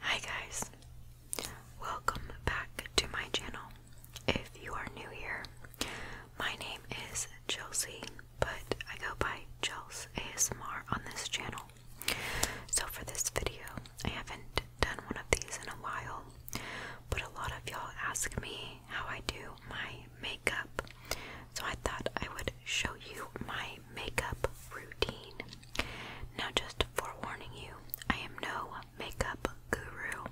Hi guys, welcome back to my channel. If you are new here, my name is Chelsea, but I go by Chels ASMR on this channel. So for this video, I haven't done one of these in a while, but a lot of y'all ask me how I do my makeup. So I thought I would show you my makeup routine. Now, just forewarning you, I am no makeup guru.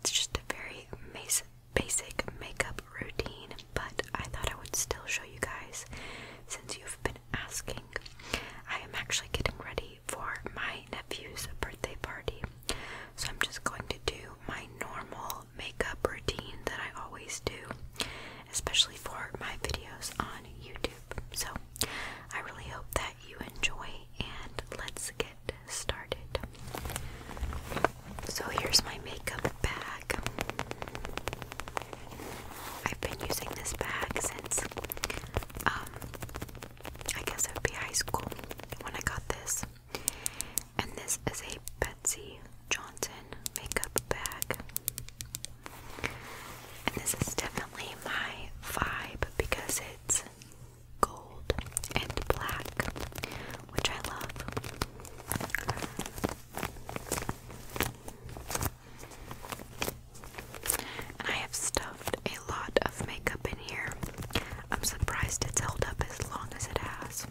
It's just a very basic makeup routine, but I thought I would still show you guys since you've been asking. I am actually getting ready for my nephew's birthday party. So I'm just going to do my normal makeup routine that I always do, especially for my videos on YouTube. So I really hope that you enjoy, and let's get started. So here's my makeup bag. I've been using this bag since, um, I guess it would be high school when I got this. And this is a Betsy Johnson makeup bag. And this is definitely my vibe because it's gold and black, which I love. And I have stuffed a lot of makeup in here. I'm surprised it's held up as long as it has.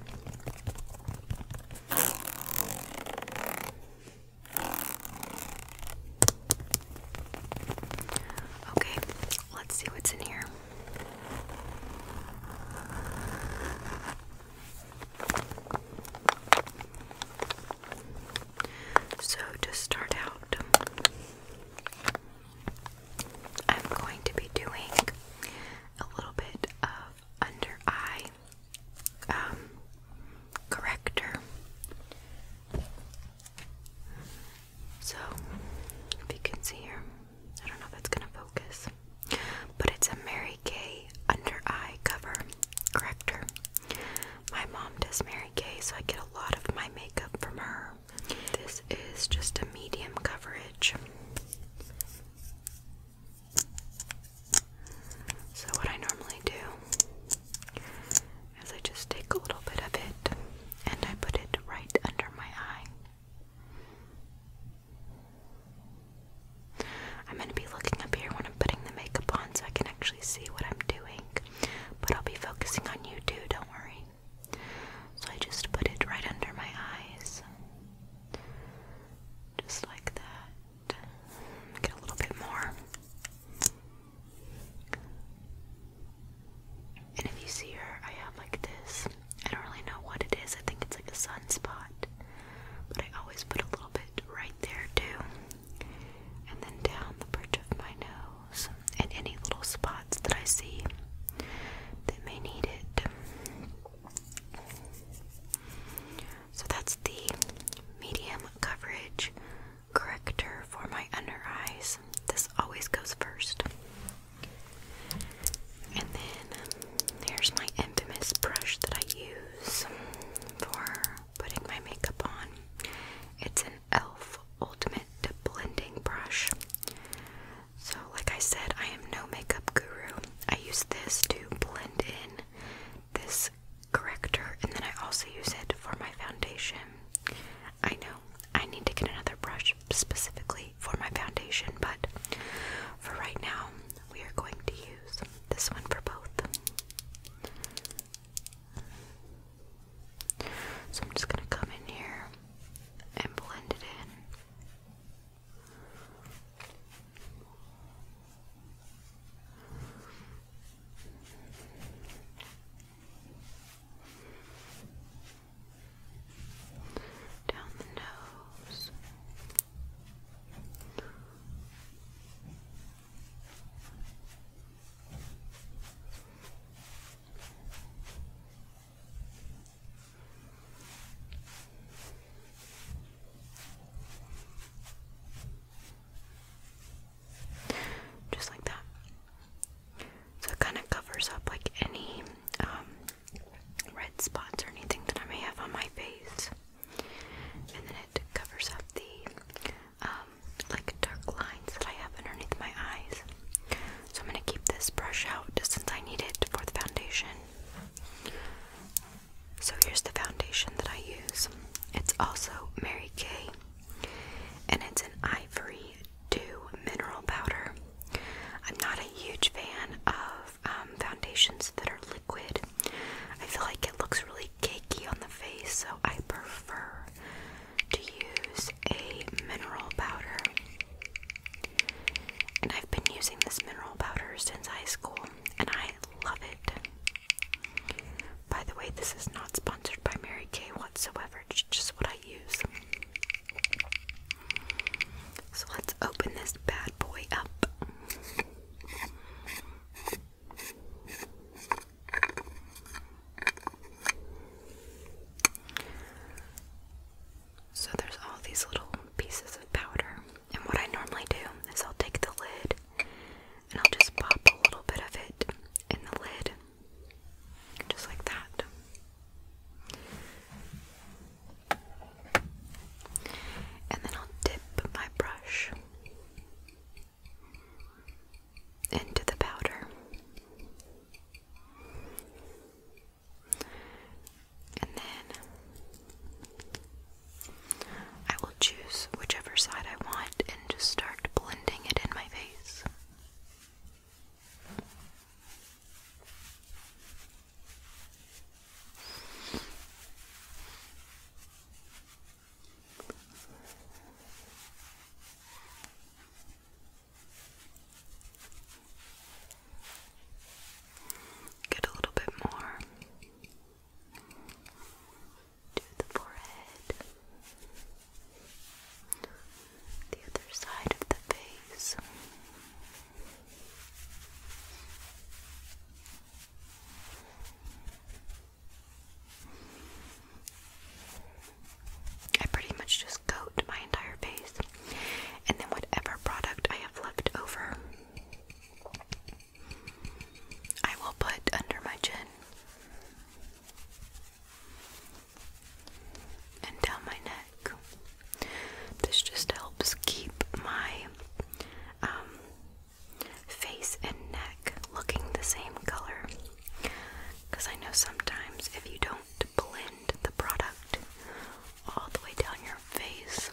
Okay, let's see what's in here. So, to start out, I'm going to be doing a little bit of under eye um, corrector. So, if you can see here, I don't know if that's going to focus, but it's a Mary Kay under eye cover corrector. My mom does Mary Kay, so I get a lot of my makeup from her. This is just a medium coverage. So, what I normally do is I just take a little bit of it and I put it right under my eye. I'm going to be looking up here when I'm putting the makeup on so I can actually see what I'm doing, but I'll be focusing on you too, don't worry. So I just put it right under my eyes. Just like that. Get a little bit more. And if you see her, I have like this. I don't really know what it is. I think it's like a sun spot, But I always put a little bit right there too. And then down the bridge of my nose and any little spots that I see that may need it. So that's the medium coverage corrector for my under eyes. This always goes first. And then there's my infamous brush that I use for putting my makeup on. It's an e.l.f. Ultimate Blending Brush. So, like I said, I am no makeup guru. I use this to blend in this corrector, and then I also use it for my foundation. I know I need to get another brush specifically for my foundation, but for right now, we are going to use this one for both. So I'm just going to come in here and blend it in. Down the nose. Just like that. So it kind of covers up like any um, red spots or anything that I may have on my face. And then it covers up the um, like dark lines that I have underneath my eyes. So I'm going to keep this brush out since I need it for the foundation. So here's the foundation that I use. It's also Mary Kay and it's an ivory dew mineral powder. I'm not a huge fan of um, foundations that are liquid. I feel like it looks really cakey on the face, so I prefer to use a mineral powder. And I've been using this mineral powder since high school, and I love it. By the way, this is not sponsored by Mary Kay whatsoever, just what I use. So let's open this bad boy up. So there's all these little pieces of powder, and what I normally do is I'll take the lid and I'll just pop a little bit of it in the lid, just like that. And then I'll dip my brush into the powder. And then I will choose whichever side I want and just start blending it in my face. Get a little bit more to the forehead, the other side of the face. I pretty much just coat my entire face, and then whatever product I have left over, I will put under my chin and down my neck. This just helps keep my um, face and neck looking the same color. Because I know sometimes if you don't blend the product all the way down your face,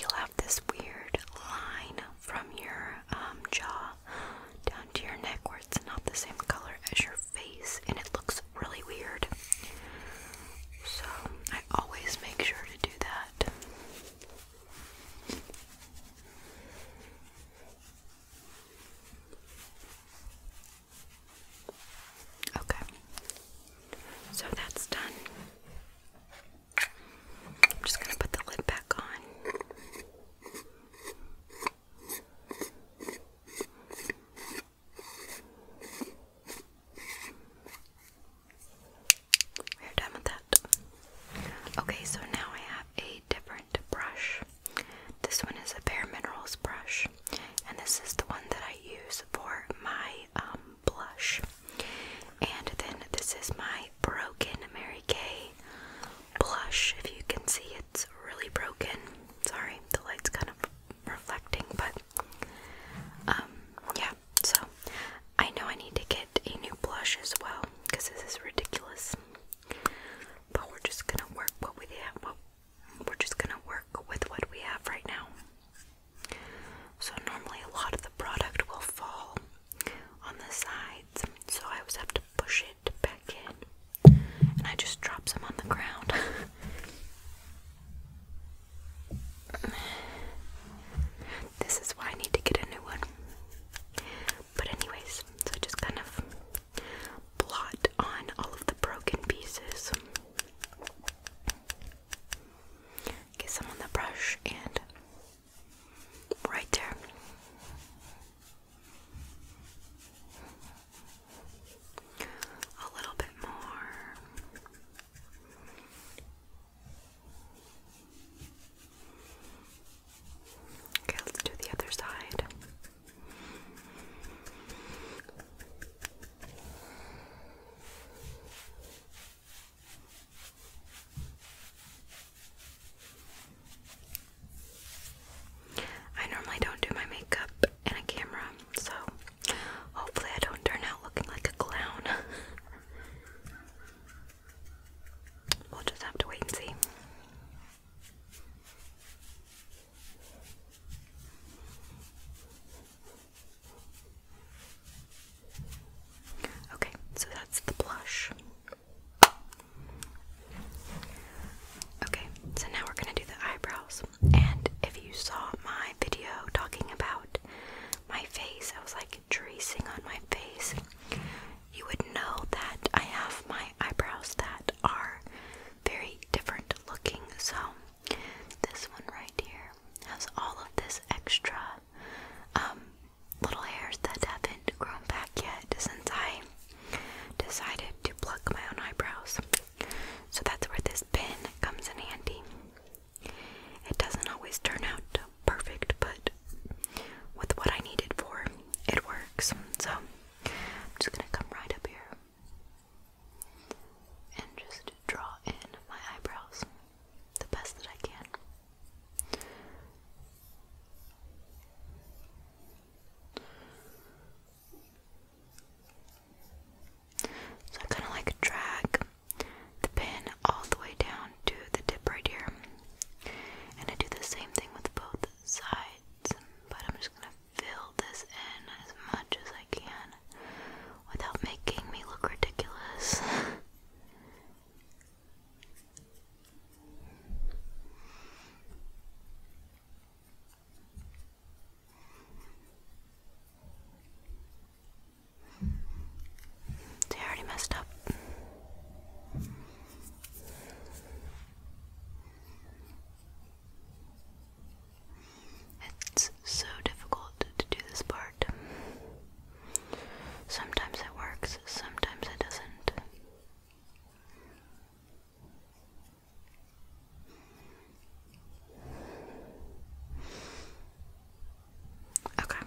you'll have this weird line from your um, jaw down to your neck where it's not the same color as your face and it looks really weird. So I always make sure to do that. Okay, so that's done. I'm just going to put the lid back on. We're done with that. Okay, so now I have eight different brush. This one is a Bare Minerals brush, and this is the one that I use for my um, blush. And then this is my Broken Mary Kay blush. If you can see, it's really broken. Sorry, the light's kind of reflecting, but um, yeah. So I know I need to get a new blush as well because this is ridiculous but we're just gonna work what we have. we're just gonna work with what we have right now. So normally a lot of the product will fall on the sides, so I always have to push it back in, and I just drops them on the ground. This is why I need to get a new one. But anyways, so I just kind of blot on all of the broken pieces. Get some on the brush and right there. A little bit more. Okay, let's do the other side. I normally don't do my makeup in a camera, so hopefully, I don't turn out looking like a clown. we'll just have to wait and see. Okay, so that's the blush. Okay, so now we're going to do the eyebrows. And if you saw my video talking about my face, I was like tracing on my face you would know that I have my eyebrows that are very different looking. So, this one right here has all of this extra um, little hairs that haven't grown back yet since I decided to pluck my own eyebrows. So, that's where this pin comes in handy. It doesn't always turn out perfect, but with what I need it for, it works. So I'm just gonna come right up here and just draw in my eyebrows the best that I can. So I kind of like drag the pin all the way down down the tip right here. And I do the same thing with both sides, but I'm just gonna fill this in as much as I can without making me look ridiculous. They already messed up. It's so difficult to do this part. Sometimes it works, sometimes it doesn't. Okay,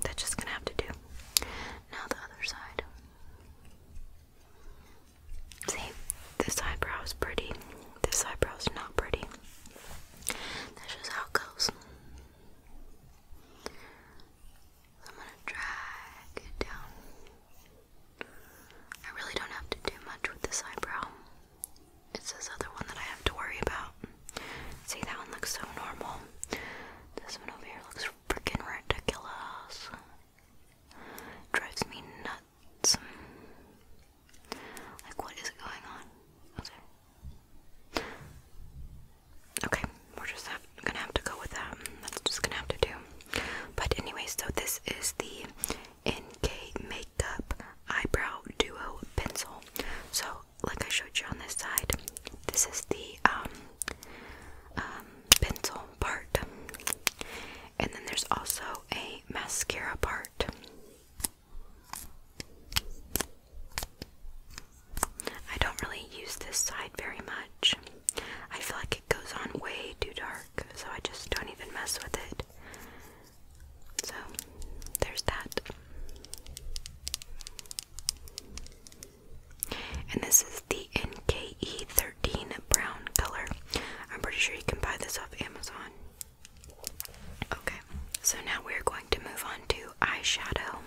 that's just gonna have to do. Now the other side. See, this eyebrow is pretty. This eyebrow is not pretty. That's just how it goes. I'm gonna drag it down. I really don't have to do much with this eyebrow. It's this other one that I have to worry about. See, that one looks so normal. This one over here looks freaking ridiculous. Drives me nuts. Like, what is going on? Okay. we're just gonna have to go with that. That's just gonna have to do. But anyway, so this is the NK Makeup Eyebrow Duo Pencil. So like I showed you on this side, this is the um, um, pencil part, and then there's also a mascara part. I don't really use this side very much. I feel like it goes on way too dark, so I just don't even mess with it. So, there's that. And this is the NKE13 brown color. I'm pretty sure you can buy this off Amazon. Okay, so now we're going to move on to eyeshadow.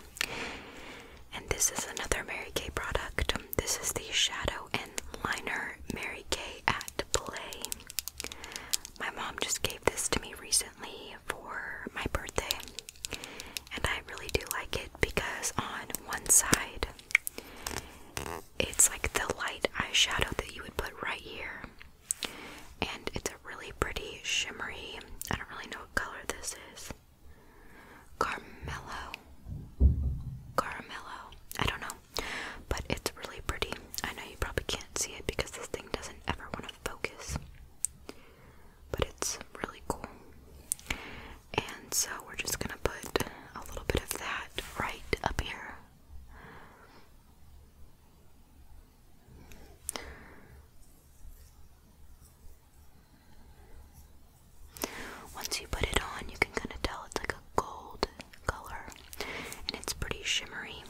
And this is another Mary Kay product. This is the Shadow and Liner Mary Kay at Play. My mom just gave this to me recently, for my birthday, and I really do like it because on one side, it's like the light eyeshadow that you would put right here, and it's a really pretty shimmery. I don't really know what color this is. Carmelo. Carmelo. I don't know. But it's really pretty. I know you probably can't see it because this thing doesn't ever want to focus but it's really cool. And so we're just gonna put a little bit of that right up here. Once you put it on, you can kind of tell it's like a gold color and it's pretty shimmery.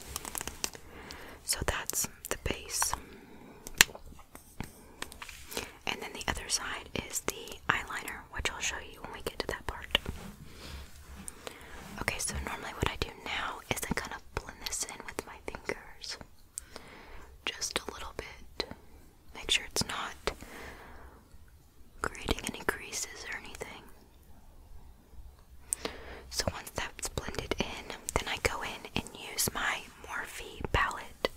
So that's the base. And then the other side is the eyeliner, which I'll show you when we get to that part. Okay, so normally what I do now is I kind of blend this in with my fingers. Just a little bit. Make sure it's not creating any creases or anything. So once that's blended in, then I go in and use my Morphe palette.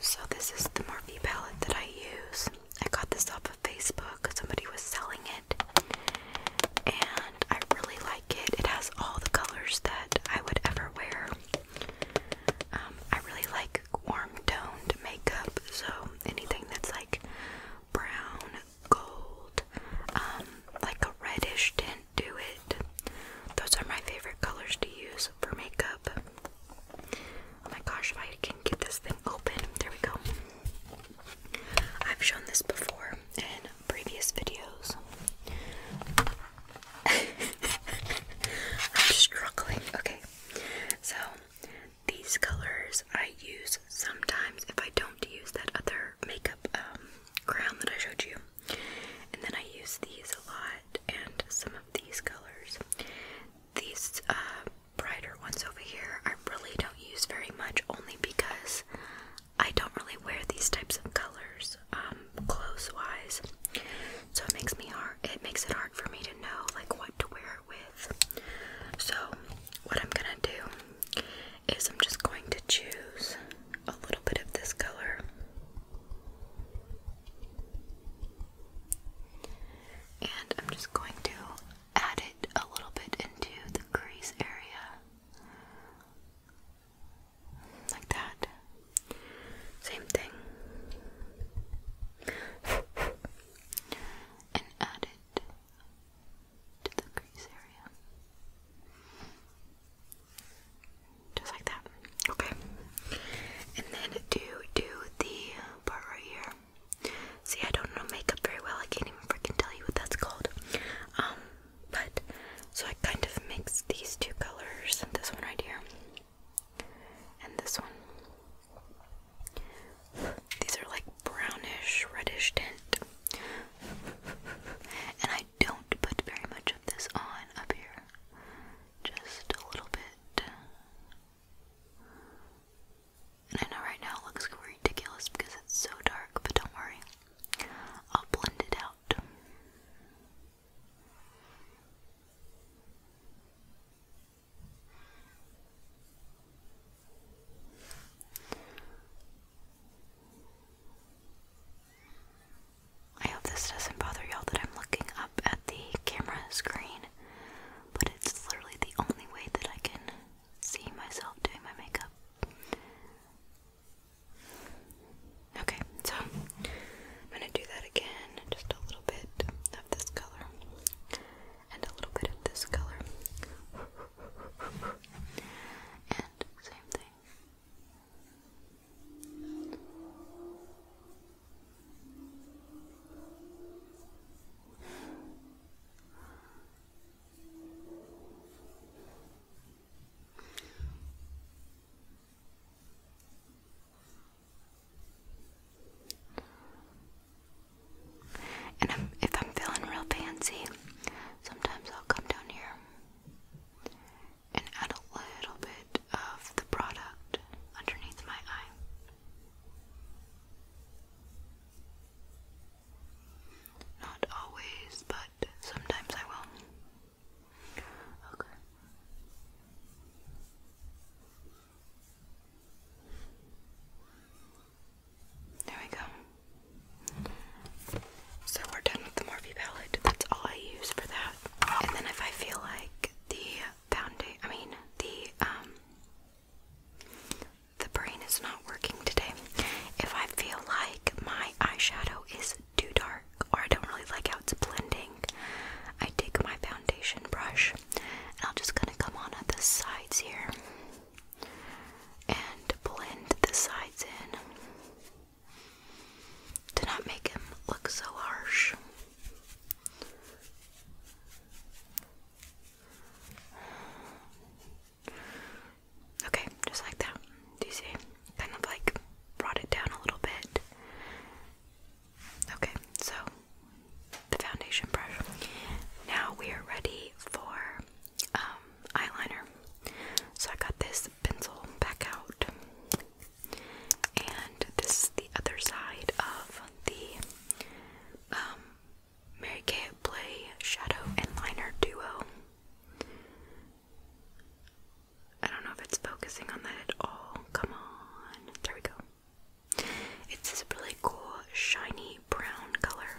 So this is the Morphe palette that I use. I got this off of Facebook. Somebody was selling it. And I really like it. It has all the colors that I would ever wear. Um, I really like warm toned makeup. So anything that's like brown, gold, um, like a reddish tint do it. Those are my favorite colors to use for makeup. Oh my gosh, if I can get this thing open. There we go. I've shown this before in previous videos. I'm struggling. Okay, so these colors I use sometimes if I don't use that other makeup um, crown that I showed you. And then I use these a lot and some of these colors. These uh, brighter ones over here I really don't use very much only because I don't really wear these types of colors um, clothes wise. So it makes me hard it makes it hard for me to know like what to wear it with. So what I'm gonna do is I'm just going to choose a little bit of this color. And I'm just going to add it a little bit into the crease area. Like that. Same thing. and add it to the crease area. Just like that. Okay. And then do do the part right here. See, I don't know makeup very well. I can't even freaking tell you what that's called. Um, but so I kind of mix these two colors, and this one right here, and this one. These are like brownish, reddish tint. And I I don't put very much of this on up here. Just a little bit. And I know right now it looks ridiculous because it's so dark, but don't worry. I'll blend it out. I hope this doesn't bother y'all that I'm looking up at the camera screen, but it's literally the only way that I can see myself doing my makeup. Okay, so I'm gonna do that again, just a little bit of this color and a little bit of this color. Same thing. And if I'm feeling real fancy, sometimes come down here and add a little bit of the product underneath my eye. Not always, but sometimes I will. Okay. There we go. So we're done with the Morphe palette. That's all I use for that. And then if I feel like the foundation, I mean the um, the brain is not working today. If I feel like my eyeshadow is too dark or I don't really like how it's blending, I take my foundation brush and I'll just kind of come on at the sides here and blend the sides in to not make him look so harsh. Okay, just like that. Do you see? Kind of like brought it down a little bit. Okay, so the foundation brush. Now we are ready for um, eyeliner. So I got this pencil back out, and this is the other side of the um, Mary Kay Play Shadow and Liner Duo. I don't know if it's focusing on that at all. Come on. There we go. It's this really cool, shiny brown color.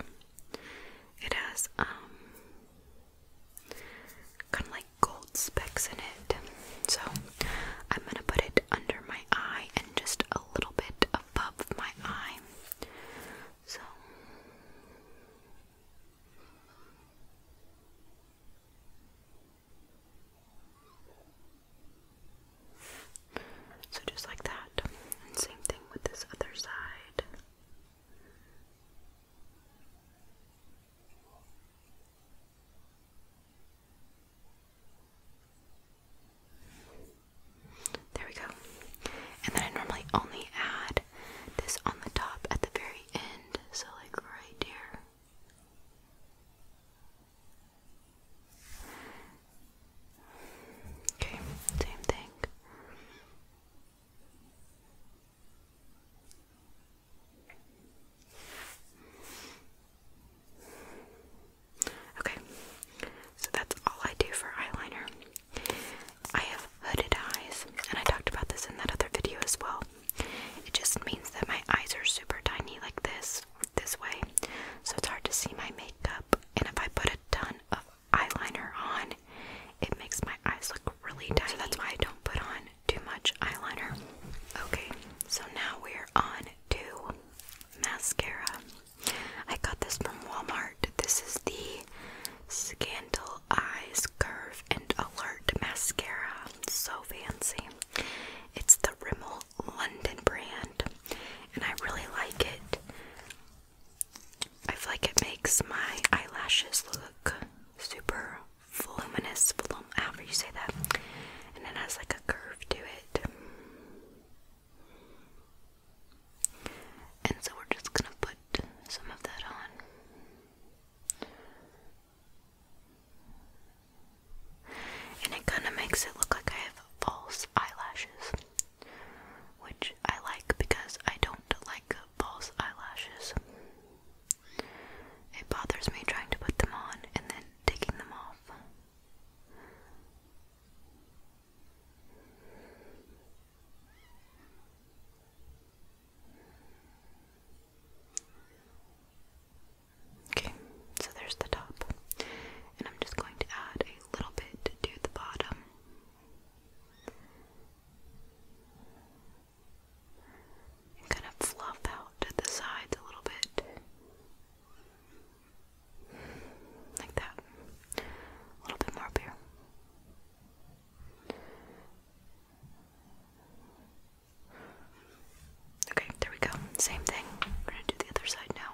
It has um, kind of like gold specks in it. So I'm gonna put it under my eye and just a little bit above my eye. So so just like that. same thing with this other side. There we go. And then I normally only add this on the top at the very end, so like right here. Okay, same thing. Okay, so that's all I do for eyeliner. I have hooded eyes, and I talked about this in that other video as well. It just means that my eyes are super tiny, like this, this way, so it's hard to see my makeup. And if I put a ton of eyeliner on, it makes my eyes look really dark. So that's why I don't put on too much eyeliner. Okay, so now we're on to mascara. I got this from Walmart. This is the Scandal Eyes Curve and Alert Mascara. So fancy. It's the Rimmel London brand, and I really like it. I feel like it makes my eyelashes look super voluminous, volum however you say that, and it has like a curve to it. And so we're just gonna put some of that on. And it kind of makes it look like I have false eyelashes, which I like because I don't like false eyelashes. It bothers me trying to put them on and then taking them off. Okay, so there's the top, and I'm just going to add a little bit to the bottom kind of fluff out the sides a little bit. Like that. A little bit more up here. Okay, there we go. Same thing. We're gonna do the other side now.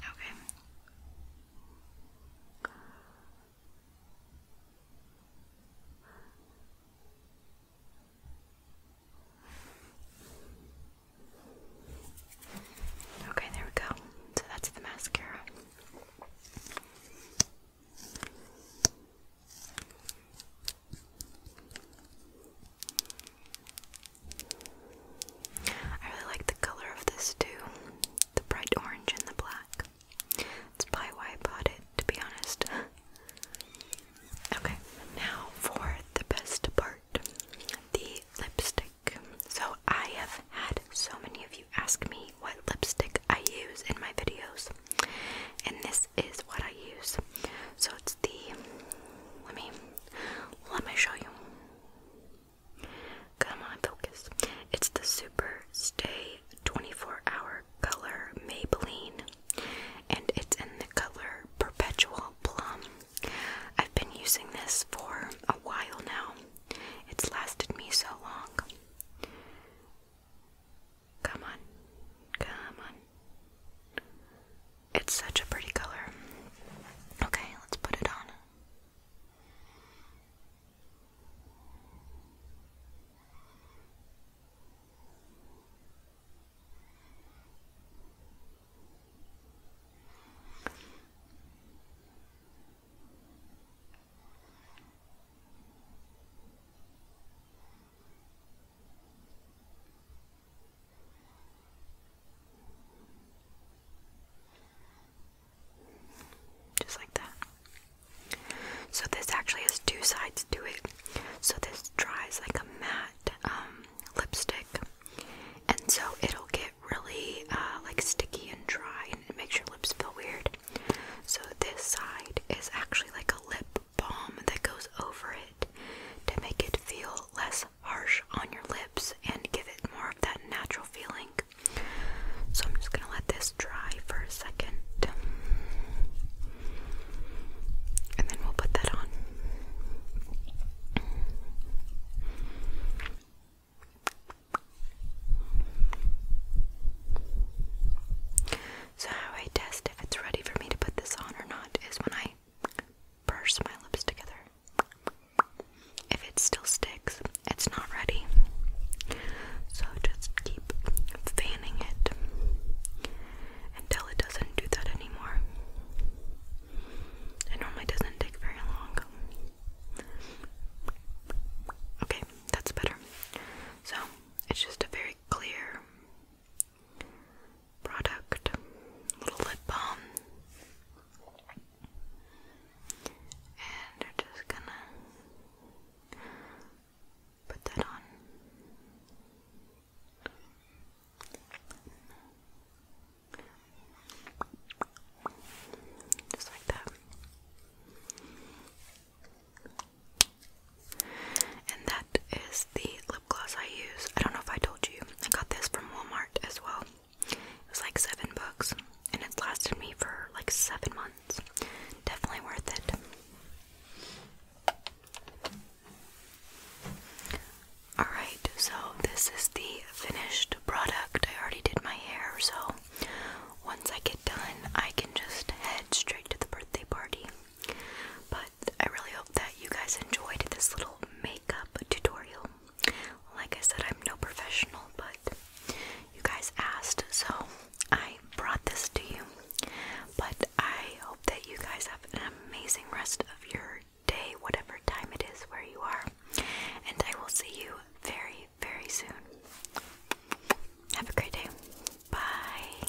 Okay. Okay, there we go. So that's the mascara. I really like the color of this too the bright orange and the black. It's why I bought it, to be honest. okay, now for the best part the lipstick. So, I have had so many of you ask me what lipstick I use in my videos, and this is what I use. So, it's the let me let me show you. Come on, focus. It's the Super Stay 24 Hour Color Maybelline, and it's in the color Perpetual Plum. I've been using this for a while now, it's lasted me so long. Come on, come on. It's such a pretty color. Okay, let's put it on. Just like that. So this actually has two sides to it. So this dries like a matte um, lipstick, and so it'll get really uh, like sticky and dry, and it makes your lips feel weird. So this side is actually like a lip balm that goes over it to make it feel less harsh on your lips and give it more of that natural feeling. So I'm just gonna let this dry for a second. And then we'll put that on. So, how I test if it's ready for me to put this on or not is when I brush my lips together. If it still sticks, it's not ready. So just keep fanning it until it doesn't do that anymore. It normally doesn't take very long. Okay, that's better. So it's just a very clear product, little lip balm, and we're just gonna put that on. Just like that. And that is the gloss I use. I don't know if I told you. I got this from Walmart as well. It was like seven bucks, and it's lasted me for like seven months. Definitely worth it. Alright, so this is the finished product. I already did my hair, so once I get done, I can just head straight to the birthday party. But I really hope that you guys enjoyed this little makeup tutorial. Like I said, I'm no professional, but you guys asked, so I brought this to you. But I hope that you guys have an amazing rest of your day, whatever time it is where you are. And I will see you very, very soon. Have a great day. Bye.